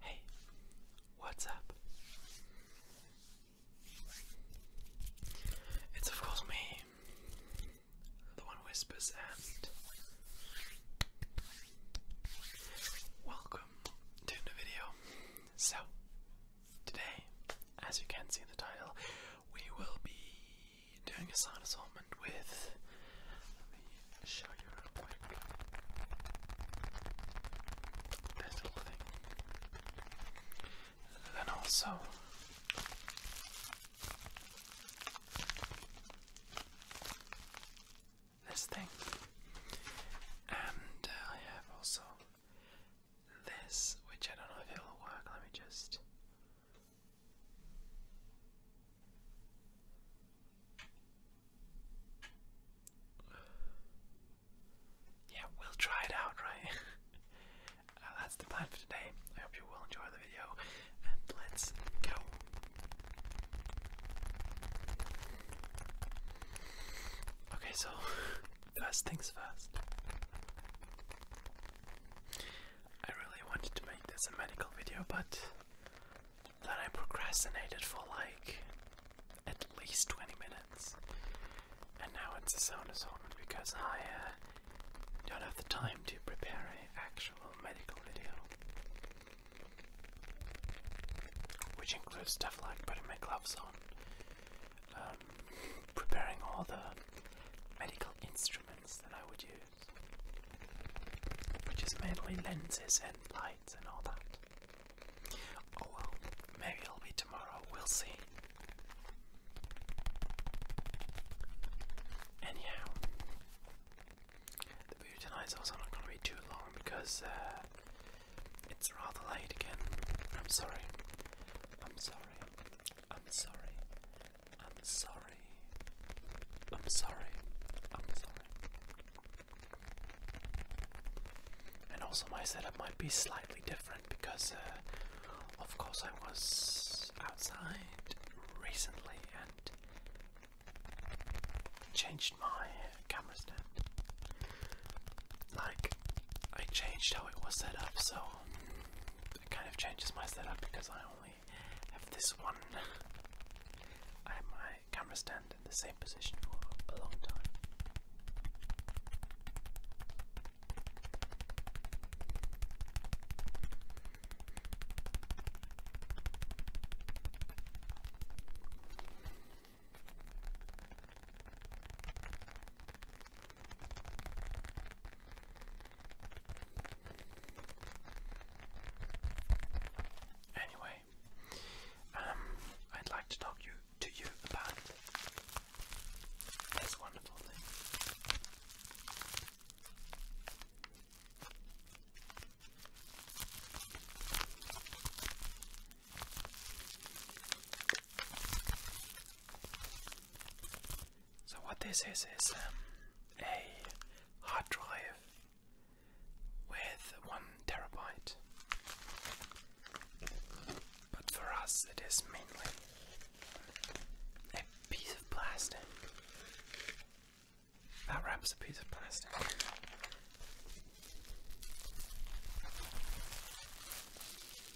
Hey, what's up? It's of course me, the one whispers, and welcome to the video. So, Today, as you can see in the title, we will be doing a sound assortment with. Let me show you real quick. little thing. Then also. This thing, and uh, I have also this, which I don't know if it'll work. Let me just. Yeah, we'll try it out, right? Uh, that's the plan for today. I hope you will enjoy the video, and let's go. Okay, so First things first. I really wanted to make this a medical video, but then I procrastinated for like at least 20 minutes. And now it's a sound assortment because I uh, don't have the time to prepare an actual medical video. Which includes stuff like putting my gloves on, um, preparing all the medical instruments that I would use, which is mainly lenses and lights and all that. Oh well, maybe it'll be tomorrow, we'll see. Anyhow, the video tonight also not going to be too long because uh, it's rather late again. I'm sorry. I'm sorry. I'm sorry. I'm sorry. I'm sorry. I'm sorry. And also, my setup might be slightly different because, uh, of course, I was outside recently and changed my camera like, I changed how it was set up, so it kind of changes my setup because I only have this one. I have my camera stand in the same position for a long time. Anyway, um, I'd like to talk to you about this wonderful thing. So what this is is um, a hard drive with one terabyte. But for us, it is mainly a piece of plastic. That wraps a piece of plastic.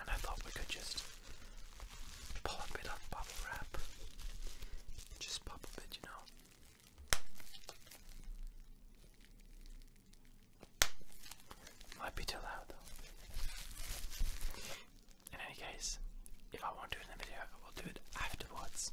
And I thought we could just pull a bit of bubble wrap. Just pop a bit, you know. Might be too loud though. In any case, if I want to do it in the video, we'll do it afterwards.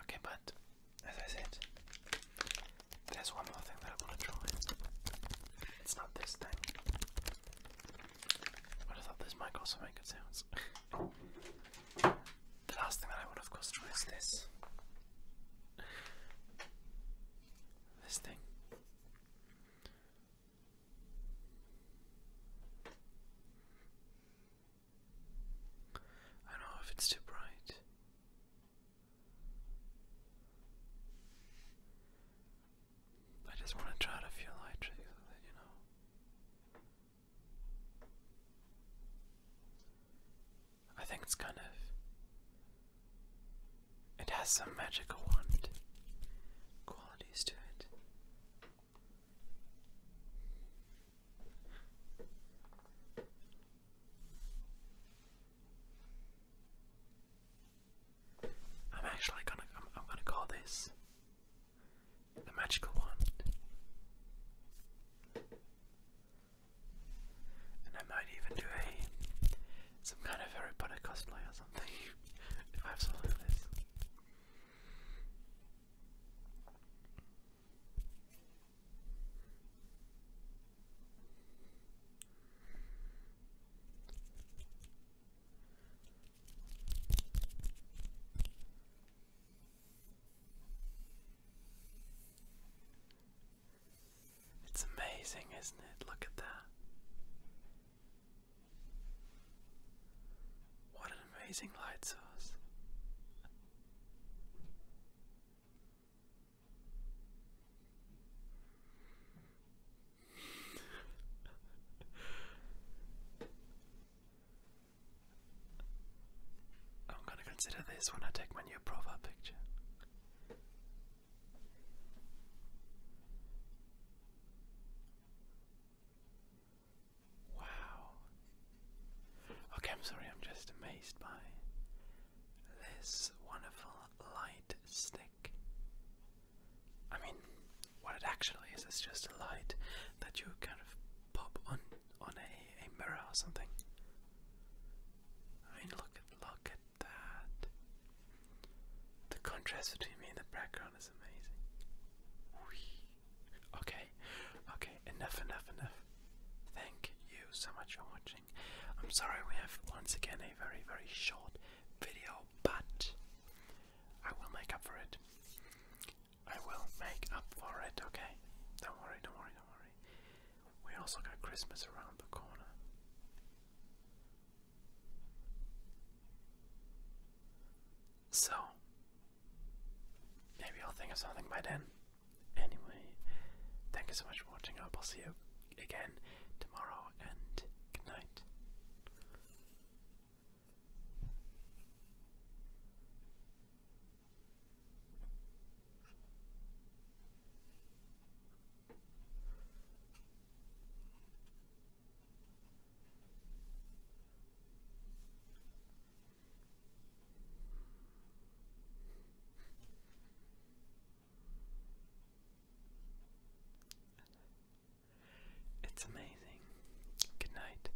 Okay, but as I said, there's one more thing that I want to try. It's not this thing. But I thought this might also make good sounds. the last thing that I would of course try is this. This thing. I don't know if it's too bright. I just want to try to feel light tricks with you know. I think it's kind of it has some magical wand qualities to it. I'm actually gonna I'm, gonna call this the magical wand. And I might even do a some kind of Harry Potter cosplay or something. if I have something this. It's amazing, isn't it? Look at that. What an amazing light source. I'm going to consider this when I take my new profile picture. Wow. Okay, I'm sorry, I'm just amazed by this wonderful light stick. I mean, what it actually is is just a light that you kind of pop on on a, a mirror or something. I mean, look at look at that. The contrast between me and the background is amazing. Whee. Okay, okay, enough, enough, enough. Thank you so much for watching. I'm sorry we have once again a very, very short video, but I will make up for it. I will make up for it, okay? Don't worry, don't worry, don't worry. We also got Christmas around the corner. So, maybe I'll think of something by then. Anyway, thank you so much for watching. I hope I'll see you again tomorrow, and good night. It's amazing. Good night.